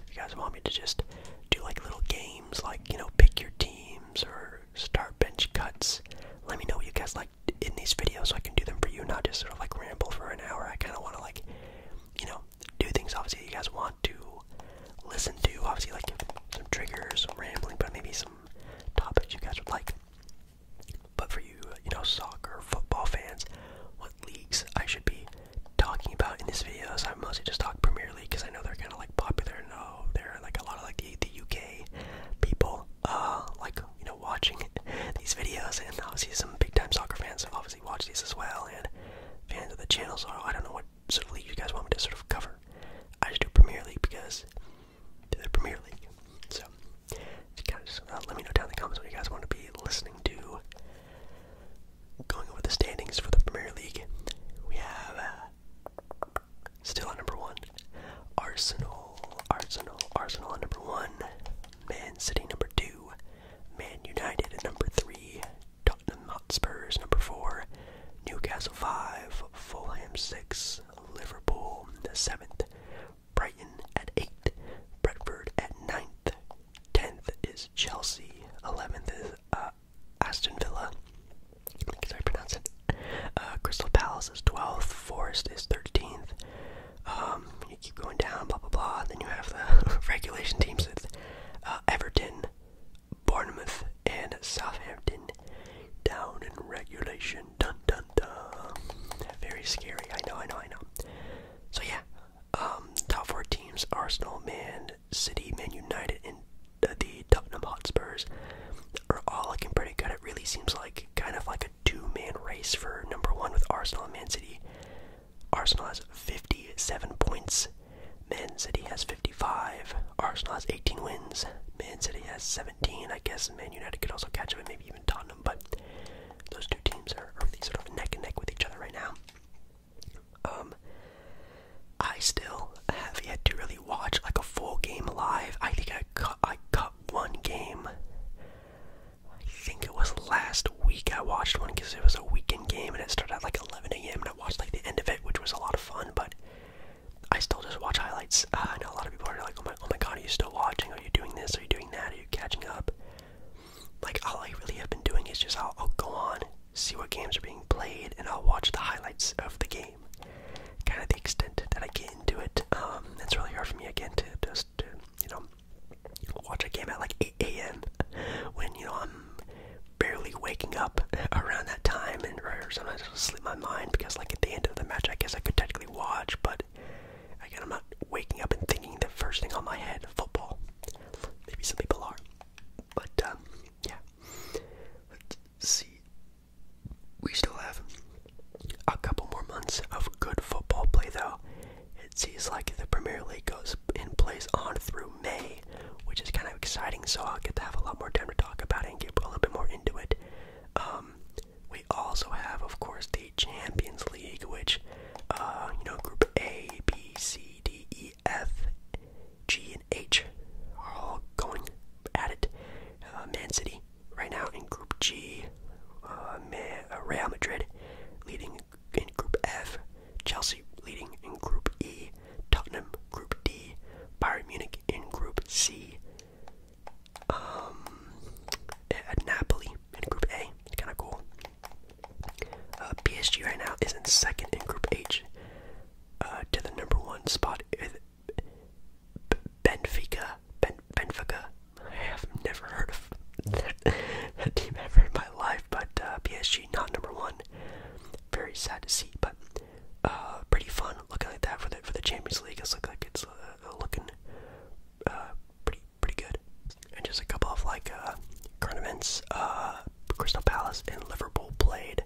if you guys want me to just do like little games, like you know, pick your teams or start bench cuts. Let me know what you guys like in these videos so I can do them for you, not just sort of like ramble for an hour. I kind of want to like, you know, do things obviously you guys want to listen to. Obviously, like some triggers, some rambling, but maybe some topics you guys would like. But for you, you know, soccer, football fans, what leagues I should be talking about in these videos? I mostly just talk Premier League because I know they're kind of like popular. No, oh, they're like a lot of like the, UK people uh, like you know watching these videos, and obviously some big time soccer fans obviously watch these as well, and fans of the channel. So I don't know what sort of league you guys want me to sort of cover. I just do Premier League because the Premier League. So guys, uh, let me know down in the comments what you guys want to be listening to. Going over the standings for the Premier League, we have. Uh, Still at number one. Arsenal, Arsenal, Arsenal at number one. Man City number two. Man United at number three. Tottenham Hotspurs number four. Newcastle five. Fulham six. Liverpool the seventh. Brighton at eight. Brentford at ninth. Tenth is Chelsea. Eleventh is uh, Aston Villa. I pronounce it. Uh, Crystal Palace is 12th, Forest is 13th. Um, you keep going down, blah blah blah. Then you have the regulation teams with uh, Everton, Bournemouth, and Southampton down in regulation. Dun dun dun. Very scary. I know, I know, I know. So yeah, um, top four teams: Arsenal, Man City, Man United, and the Tottenham Hotspurs are all looking pretty good. It really seems like kind of like a two-man race for number one with Arsenal and Man City. Arsenal has 57 points. Man City has 55. Arsenal has 18 wins. Man City has 17. I guess Man United could also catch up and maybe even Tottenham, but those two teams are really sort of neck and neck with each other right now. Um, I still have yet to really watch like a full game live. I think I I got one game. I think it was last week I watched one because it was a weekend game and it started at like 11 a.m. and I watched like the end of it, which was a lot of fun. But I still just watch highlights. I know a lot of people are like, "Oh my, oh my God, are you still watching? Are you doing this? Are you doing that? Are you catching up?" Like all I really have been doing is just i I'll go on, see what games are being played, and I'll watch the highlights of the game Kind of the extent that I get into it. Um, it's really hard for me again to just to, you know watch a game at like 8 a.m. when you know I'm barely waking up around that time, and or sometimes I'll sleep my mind because like at the end of the match, I guess I could technically watch, but again, I'm not waking up and thinking the first thing on my head football. Maybe some people are, but um, yeah. Let's see. We still have a couple more months of good football play, though. It seems like the Premier League goes in place on through May, which is kind of exciting, so I'll get to have a lot more time to talk about it and get a little bit more into it. Um, we also have, of course, the Champions League, which, uh, you know, Group A, B, C, D, E, F, G, and H are all going at it. Uh, Man City right now in Group G, uh, uh, Real Madrid leading in Group F, Chelsea leading in Group E, Tottenham Group D, Bayern Munich in Group C, um, Napoli in Group A. It's kind of cool. Uh, PSG right now is in second in Group H. Uh, to the number one spot Benfica. Ben Benfica. I have never heard of that, team ever in my life, but uh, PSG not number one. Very sad to see, but uh, pretty fun looking like that for the for the Champions League. It looks like it's uh, looking uh, pretty pretty good. And just a couple of like uh, Crystal Palace and Liverpool played.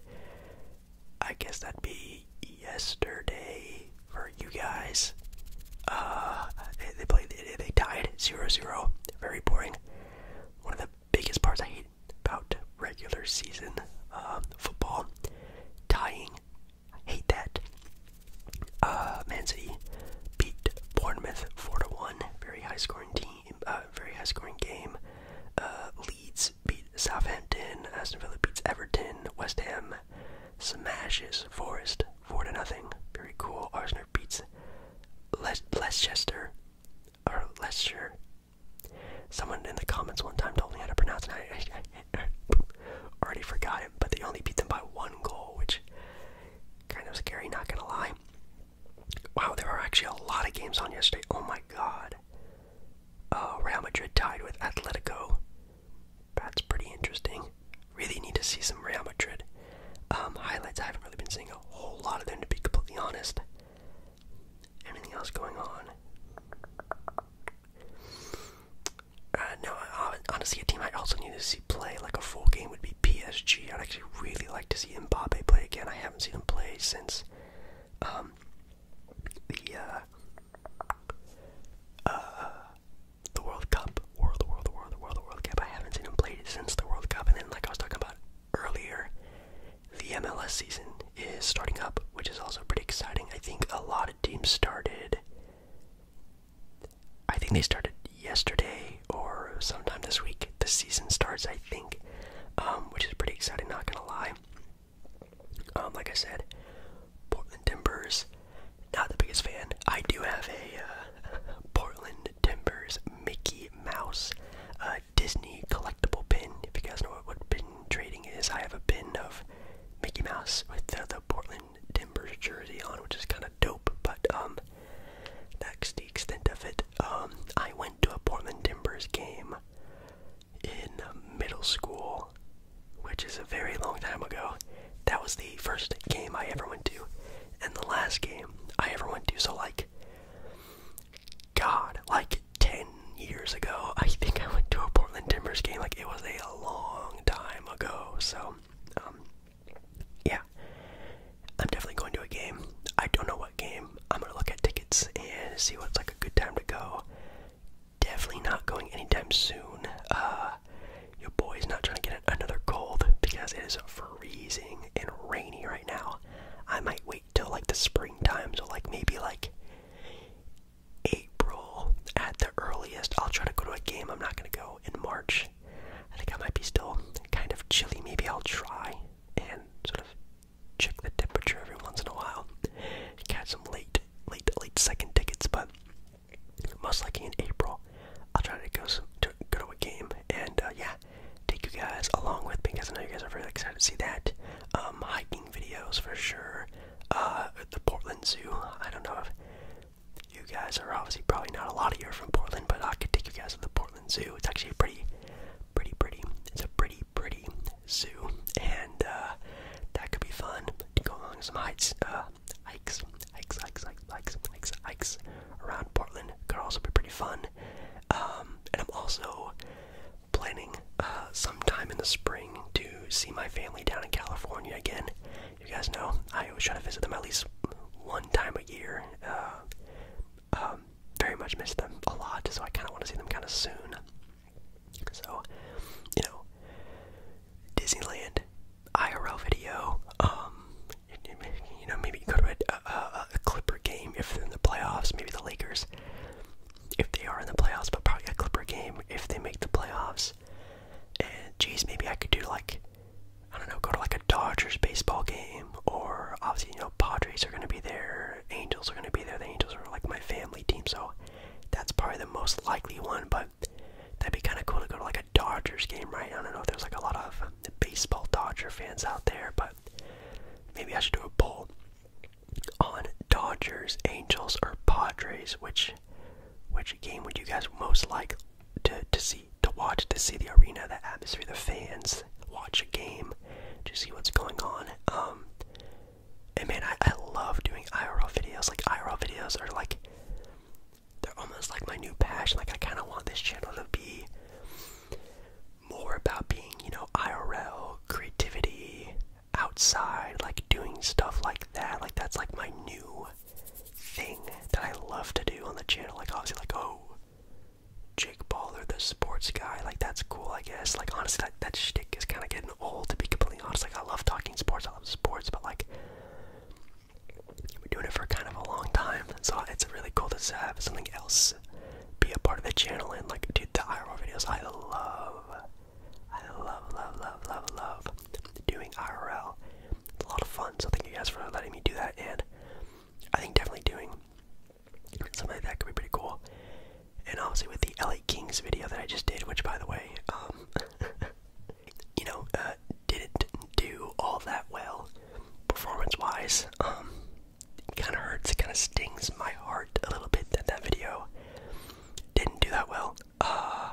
I guess that'd be yesterday for you guys. Uh, they, they played, they, they tied 0 Very boring. One of the biggest parts I hate about regular season um, football tying. I hate that. Uh, Man City beat Bournemouth 4 1. Very high scoring team, uh, very high scoring game. Uh, Leeds beat Southampton. Aston Villa beats Everton. West Ham smashes Forest four to nothing. Very cool. Arsenal beats Leicester or Leicester. Someone in the comments one time told me how to pronounce it. I, already forgot it, but they only beat them by one goal, which kind of scary. Not gonna lie. Wow, there are actually a lot of games on yesterday. Oh my god. Uh, Real Madrid tied with Atletico that's pretty interesting. Really need to see some Real Madrid um, highlights. I haven't really been seeing a whole lot of them, to be completely honest. Anything else going on? Uh, no, uh, honestly, a team I also need to see play like a full game would be PSG. I'd actually really like to see Mbappe play again. I haven't seen him play since um, the uh, uh, the World Cup, or World, World, World, World Cup. I haven't seen him play since the World Cup, and then like I was talking about earlier, the MLS season is starting up, which is also pretty exciting. I think a lot of teams started. I think they started yesterday or sometime this week. The season starts, I think, um, which is pretty exciting. Not gonna lie. Um, like I said, Portland Timbers, not the biggest fan. I do have a uh, Portland Timbers Mickey Mouse uh, Disney collectible pin. If you guys know what, pin trading is, I have a pin of Mickey Mouse with the, Portland Timbers jersey on, which is kind of dope, but um, that's the extent of it. Um, I went to a Portland Timbers game in middle school, which is a very long time ago. That was the first game I ever went to, and the last game I ever went to. So, like, God, like 10 years ago, I think I went to a Portland Timbers game. Like, it was a long time ago. So, um, yeah. I'm definitely going to a game. I don't know what game. I'm gonna look at tickets and see what's like a good time to go definitely not going anytime soon. Uh, your boy's not trying to get another cold because it is freezing and rainy right now. I might wait till like the springtime, so like maybe like April at the earliest. I'll try to go to a game. I'm not gonna go in March. I think I might be still kind of chilly. Maybe I'll try and sort of check the temperature every once in a while. Catch some late late, late, second tickets, but most likely in April, I'll try to go to go to a game and uh, yeah, take you guys along with me because I know you guys are really excited to see that. Um, hiking videos for sure. Uh, the Portland Zoo. I don't know if you guys are obviously probably not a lot of you are from Portland, but I could take you guys to the Portland Zoo. It's actually pretty, pretty, pretty. It's a pretty, pretty Zoo, and uh, that could be fun to go along some hikes, uh, hikes, hikes, hikes, hikes, hikes, hikes, hikes around Portland. Could also be pretty fun. Um, and I'm also planning uh, sometime in the spring to see my family down in California again. You guys know I always try to visit them at least one time a year. Uh, um, very much miss them a lot, so I kind of want to see them kind of soon. So, you know, Disneyland, IRL video, um, you know, maybe go to a, Clipper game if they're in the playoffs, maybe the Lakers, if they are in the playoffs, but probably a Clipper game if they make the playoffs. And geez, maybe I could do like, I don't know, go to like a Dodgers baseball game, or obviously, you know, Padres are going to be there, Angels are going to be there, the Angels are like my family team, so that's probably the most likely one, but that'd be kind of cool to go to like a Dodgers game, right? I don't know if there's like a lot of baseball Dodger fans out there, but maybe I should do a poll on Dodgers, Angels, or Padres. Which which game would you guys most like to to see, to watch, to see the arena, the atmosphere, the fans, watch a game, to see what's going on? Um, and man, I, I love doing IRL videos. Like, IRL videos are like, they're almost like my new passion. Like, I kind of want this channel to be more about being, you know, IRL, creativity, outside, like doing stuff like that. Like, that's like my new thing that I love to do on the channel. Like, obviously, like, oh, Jake Baller, the sports guy. Like, that's cool, I guess. Like, honestly, that, that shtick is kind of getting old, to be completely completely Like I love talking sports, I love sports, but like we've been doing it for kind of a long time, so it's really cool to have something else be a part of the channel. And like, dude, the IRL videos, I love, I love, love, love, love, love doing IRL. It's a lot of fun. So thank you guys for letting me do that. And I think definitely doing something like that could be pretty cool and obviously with the LA Kings video that I just did, which by the way, um, you know, uh, didn't do all that well performance-wise. Um, it kind of hurts, it kind of stings my heart a little bit that that video didn't do that well. Uh,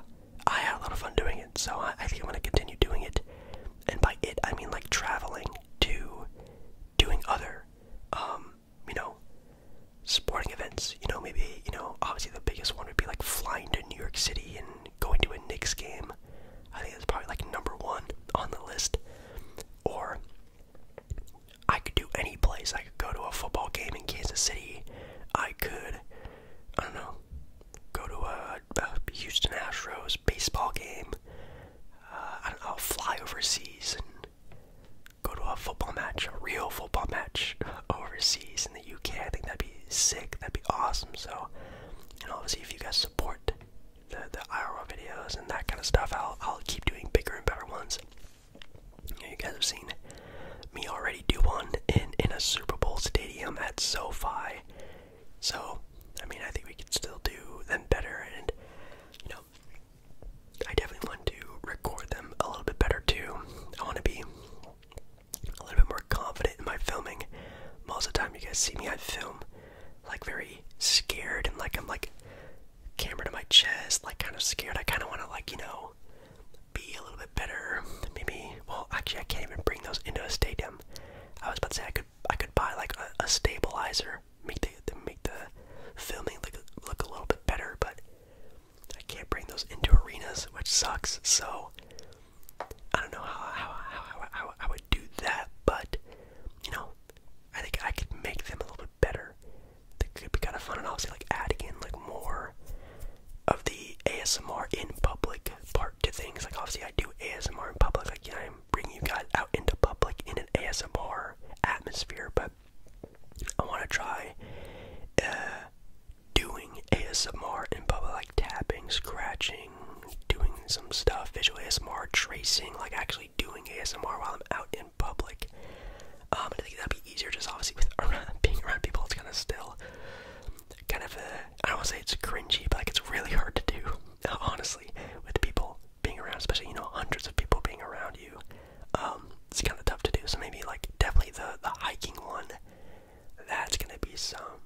I had a lot of fun doing it, so I, think i want to continue doing it. And by it, I mean like traveling to doing other um, you know, sporting events. You know, maybe, you know, obviously the biggest one would be like flying to New York City and going to a Knicks game. I think that's probably like number one on the list. Or I could do any place. I could go to a football game in Kansas City. I could, I don't know, go to a, a Houston Astros baseball game. Uh, I don't know, I'll fly overseas and go to a football match, a real football match overseas in the UK. I think that'd be sick. That'd be awesome. So, and obviously, if you guys support the the IRL videos and that kind of stuff, I'll I'll keep doing bigger and better ones. You, you guys have seen me already do one in in a Super Bowl stadium at SoFi. So, I mean, I think we could still do them better, and you know, I definitely want to record them a little bit better too. I want to be a little bit more confident in my filming. Most of the time, you guys see me, I film like very scared and like I'm like camera to my chest, like kind of scared. I kind of want to like you know be a little bit better. Maybe well, actually, I can't even bring those into a stadium. I was about to say I could I could buy like a, stabilizer, make the, the make the filming look look a little bit better, but I can't bring those into arenas, which sucks. So I don't know how how how, how, I would do that, but you know, I think I could make them a little bit better. They could be kind of fun, and obviously, like adding in like more of the ASMR in public part to things. Like obviously, I do ASMR in public. Like you know, I'm bringing you guys out into public in an ASMR atmosphere, but I want to try uh, doing ASMR in public, like tapping, scratching, doing some stuff, visual ASMR, tracing, like actually doing ASMR while I'm out in public. Um, I think that'd be easier just obviously with being around people. It's kind of still kind of I I don't want to say it's cringy, but like it's really hard to do, honestly, with people being around, especially, you know, hundreds of people being around you. Um, it's kind of tough to do. So maybe like definitely the the hiking one. That's gonna be some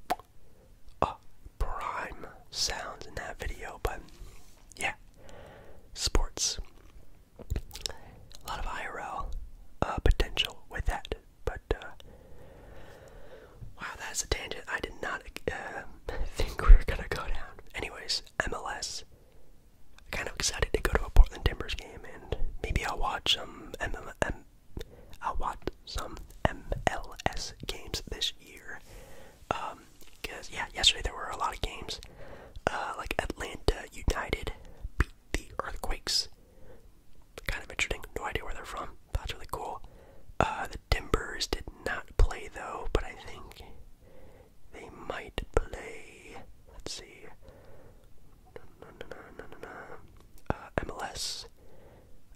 uh, prime sounds in that video. But yeah, sports. A lot of IRL uh, potential with that. But uh, wow, that's a tangent. I did not uh, think we were gonna go down. Anyways, MLS kind of excited to go to a Portland Timbers game, and maybe I'll watch some MLM. I'll watch some MLS games this year. Um, cause yeah, yesterday there were a lot of games. Uh, like Atlanta United beat the Earthquakes. Kind of interesting. No idea where they're from. That's really cool. Uh, the Timbers did not play though, but I think they might play. Let's see. Uh, MLS.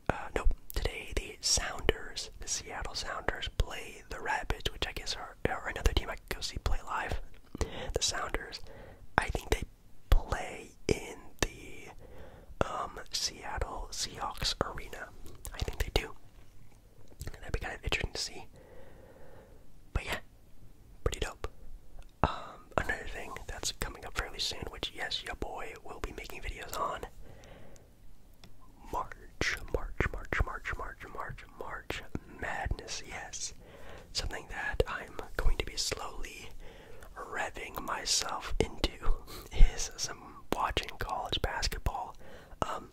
Uh, nope. Today the Sounders, the Seattle Sounders, play the Rapids, which I guess are, another team I could go see play live. The Sounders. I think they play in the um, Seattle Seahawks arena. I think they do. That'd be kind of interesting to see. But yeah, pretty dope. Um, another thing that's coming up fairly soon, which yes, your boy will be making videos on. March, March, March, March, March, March, March Madness. Yes, something that I'm going to be slowly revving myself into is some watching college basketball. Um,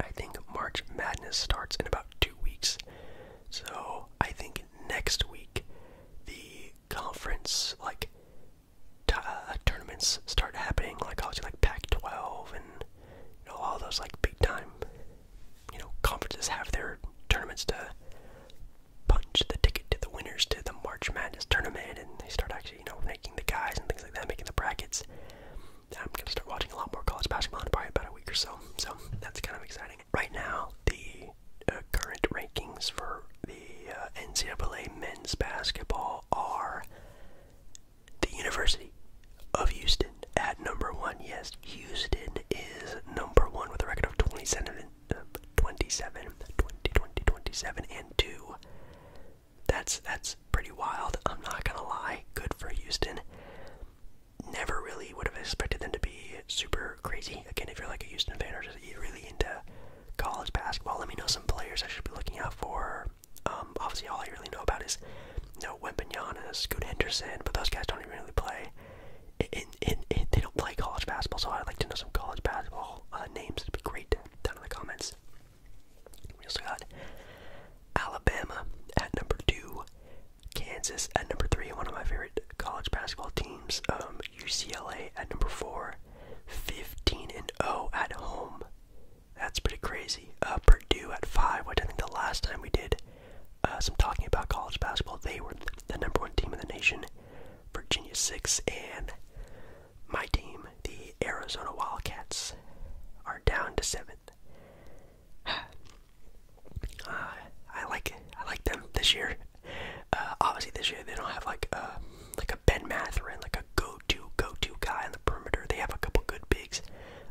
I think March Madness starts in about two weeks, so I think next week the conference like uh, tournaments start happening, like obviously like Pac-12 and you know all those like big time you know conferences have their tournaments to punch the ticket to the winners to the March Madness tournament, and they start actually you know ranking the guys and things like that, making the brackets. I'm gonna start watching a lot more college basketball in probably about a week or so, so that's kind of exciting. Right now, the uh, current rankings for the uh, NCAA men's basketball are the University of Houston at number one. Yes, Houston is number one with a record of 27, uh, and 2. That's, that's pretty wild. I'm not going to lie. Good for Houston never really would have expected them to be super crazy. Again, if you're like a Houston fan or just really into college basketball, let me know some players I should be looking out for. Um, obviously, all I really know about is you know Wembenyana, Scoot Henderson, but those guys don't even really play. In, in, they don't play college basketball, so I'd like to know some college basketball uh, names. It'd be great down in the comments. We also got Alabama at number two. Kansas at number three, one of my favorite college basketball teams. UCLA um, at number four, 15 and 0 at home. That's pretty crazy. Uh, Purdue at five, which I think the last time we did uh, some talking about college basketball, they were the number one team in the nation. Virginia six and my team, the Arizona Wildcats, are down to seven. I like I like them this year. Uh, obviously, this year they don't have like a uh, like a Ben Matherin, like a go-to go-to guy on the perimeter. They have a couple good bigs,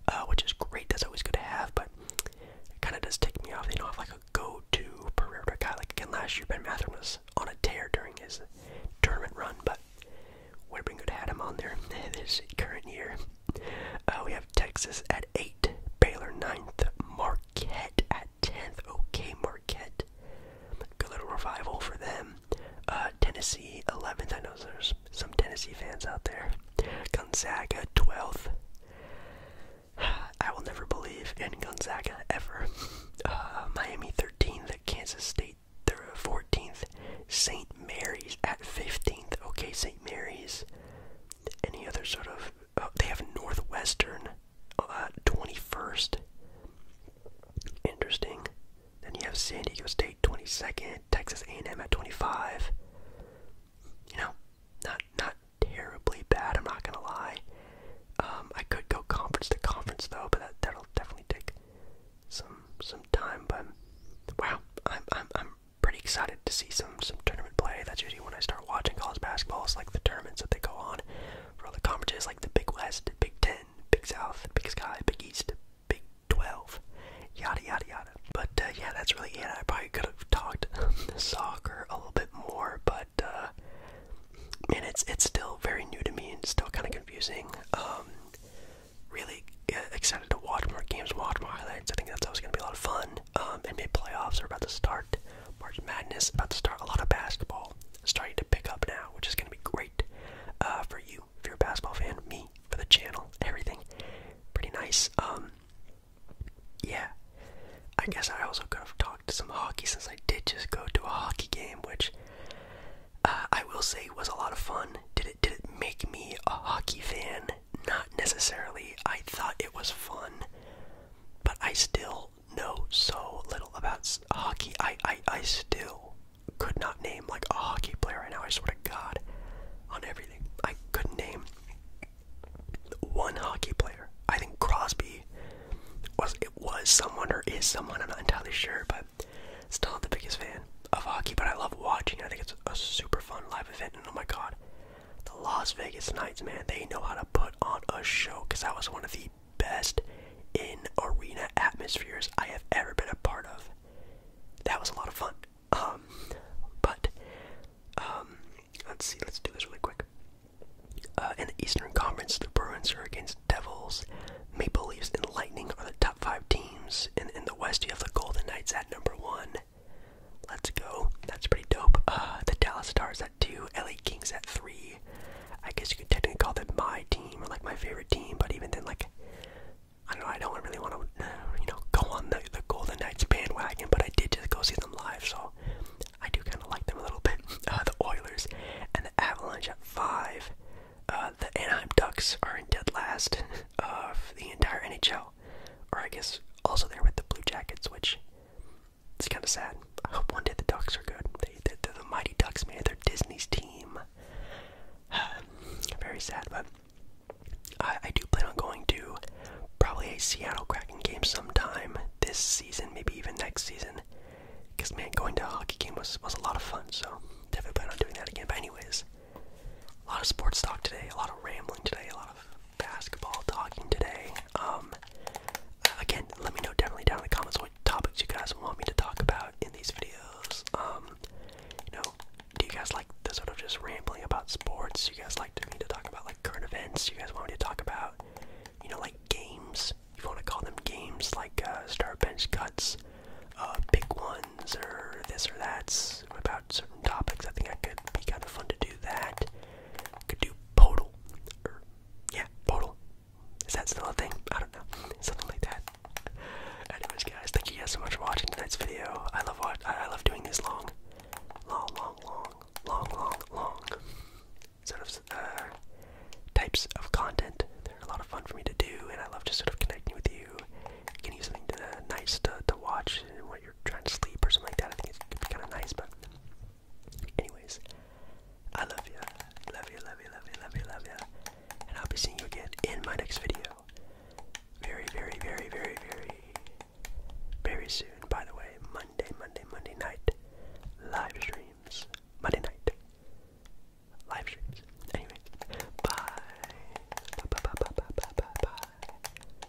uh, which is great. That's always good to have, but it kind of does tick me off. They don't have like a go-to perimeter guy. Like again last year, Ben Matherin was on a tear during his tournament run, but would have been good to have him on there this current year. Uh, we have Texas at 8, Baylor 9th, Marquette at 10th. Okay, Marquette. Good little revival for them. Uh, Tennessee 11th. I know there's some Tennessee fans out there. Gonzaga 12th. I will never believe in Gonzaga ever. Uh, Miami 13th, Kansas State 14th, St. Mary's at 15th. Okay, St. Mary's. Any other sort of they have Northwestern uh, 21st. Interesting. Then you have San Diego State 22nd, Texas A&M at 25. You know, not not terribly bad. I'm not gonna lie. Um, I could go conference to conference though, but that that'll definitely take some some time. But wow, I'm I'm pretty excited to see some some tournament play. That's usually when I start watching college basketball. It's like the tournaments that they go on for all the conferences, like the Big West, Big Ten, Big South, Big Sky, Big East, Big Twelve, yada yada yada. But uh, yeah, that's really it. I probably could have talked soccer a little bit more, but uh, man, it's it's still very new to me and still kind of confusing. Um, really uh, excited to watch more games, watch more highlights. I think that's always going to be a lot of fun. Um, NBA playoffs are about to start. March Madness about to start. A lot of basketball starting to pick up now, which is going to be great uh, for you if you're a basketball fan. Me for the channel, everything pretty nice. Um, yeah, I guess I also could have talked some hockey since I did just go to a hockey game, which uh, I will say was a lot of fun. Did it did it make me a hockey fan? Not necessarily. I thought it was fun, but I still know so little about hockey. I, I, I still could not name like a hockey player right now. I swear to God, on everything. I couldn't name one hockey player. I think Crosby was it was someone or is someone. I'm not entirely sure, but still not the biggest fan of hockey. But I love watching. I think it's a super fun live event, and oh my God, the Las Vegas Nights, man, they know how to put on a show because that was one of the best in arena atmospheres I have ever been a part of. That was a lot of fun. Um, but um, let's see, let's do this really quick. Uh, in the Eastern Conference, the Bruins are against Devils. Maple Leafs and Lightning are the top five teams. And in the West, you have the Golden Knights at number one. Let's go. That's pretty dope. Uh, the Dallas Stars at two, LA Kings at three. I guess you could technically call them my team or like my favorite team, but even then, like, I don't I don't really want to, uh, you know, go on the, the Golden Knights bandwagon, but I did just go see them live, so I do kind of like them a little bit. Uh, the Oilers and the Avalanche at five. Uh, the Anaheim Ducks are in dead last of the entire NHL now. Or I guess also there with the Blue Jackets, which it's kind of sad. I hope one day the Ducks are good. They, are the mighty Ducks, man. They're Disney's team. Very sad, but I, I do plan on going to probably a Seattle Kraken game sometime this season, maybe even next season. Because, man, going to a hockey game was, was a lot of fun, so definitely plan on doing that again. But, anyways, a lot of sports talk today, a lot of rambling today, a lot of basketball talking today. Um, again, let me know definitely down in the comments what topics you guys want me to talk about in these videos. Um, you know, do you guys like the sort of just rambling about sports? You guys like to, me to talk about like current events? You guys want me to talk about, you know, like games? If you want to call them games, like uh, star bench cuts, uh, big ones, or this or that certain topics. I think I could be kind of fun to do that. Could do podal, er, yeah, podal. Is that still a thing? I don't know. Something like that. Anyways, guys, thank you guys so much for watching tonight's video. I love what I love doing these long, long, long, long, long, long, sort of uh, types of content. They're a lot of fun for me to do, and I love just sort of connecting with you, getting you something nice to to watch you're trying to sleep or something like that. I think it could be kind of nice, but anyways, I love you, love you, love you, love you, love you, love you, and I'll be seeing you again in my next video. Very, very, very, very, very, very soon. By the way, Monday, Monday, Monday night live streams. Monday night live streams. Anyway, bye. Bye, bye, bye, bye, bye, bye, bye.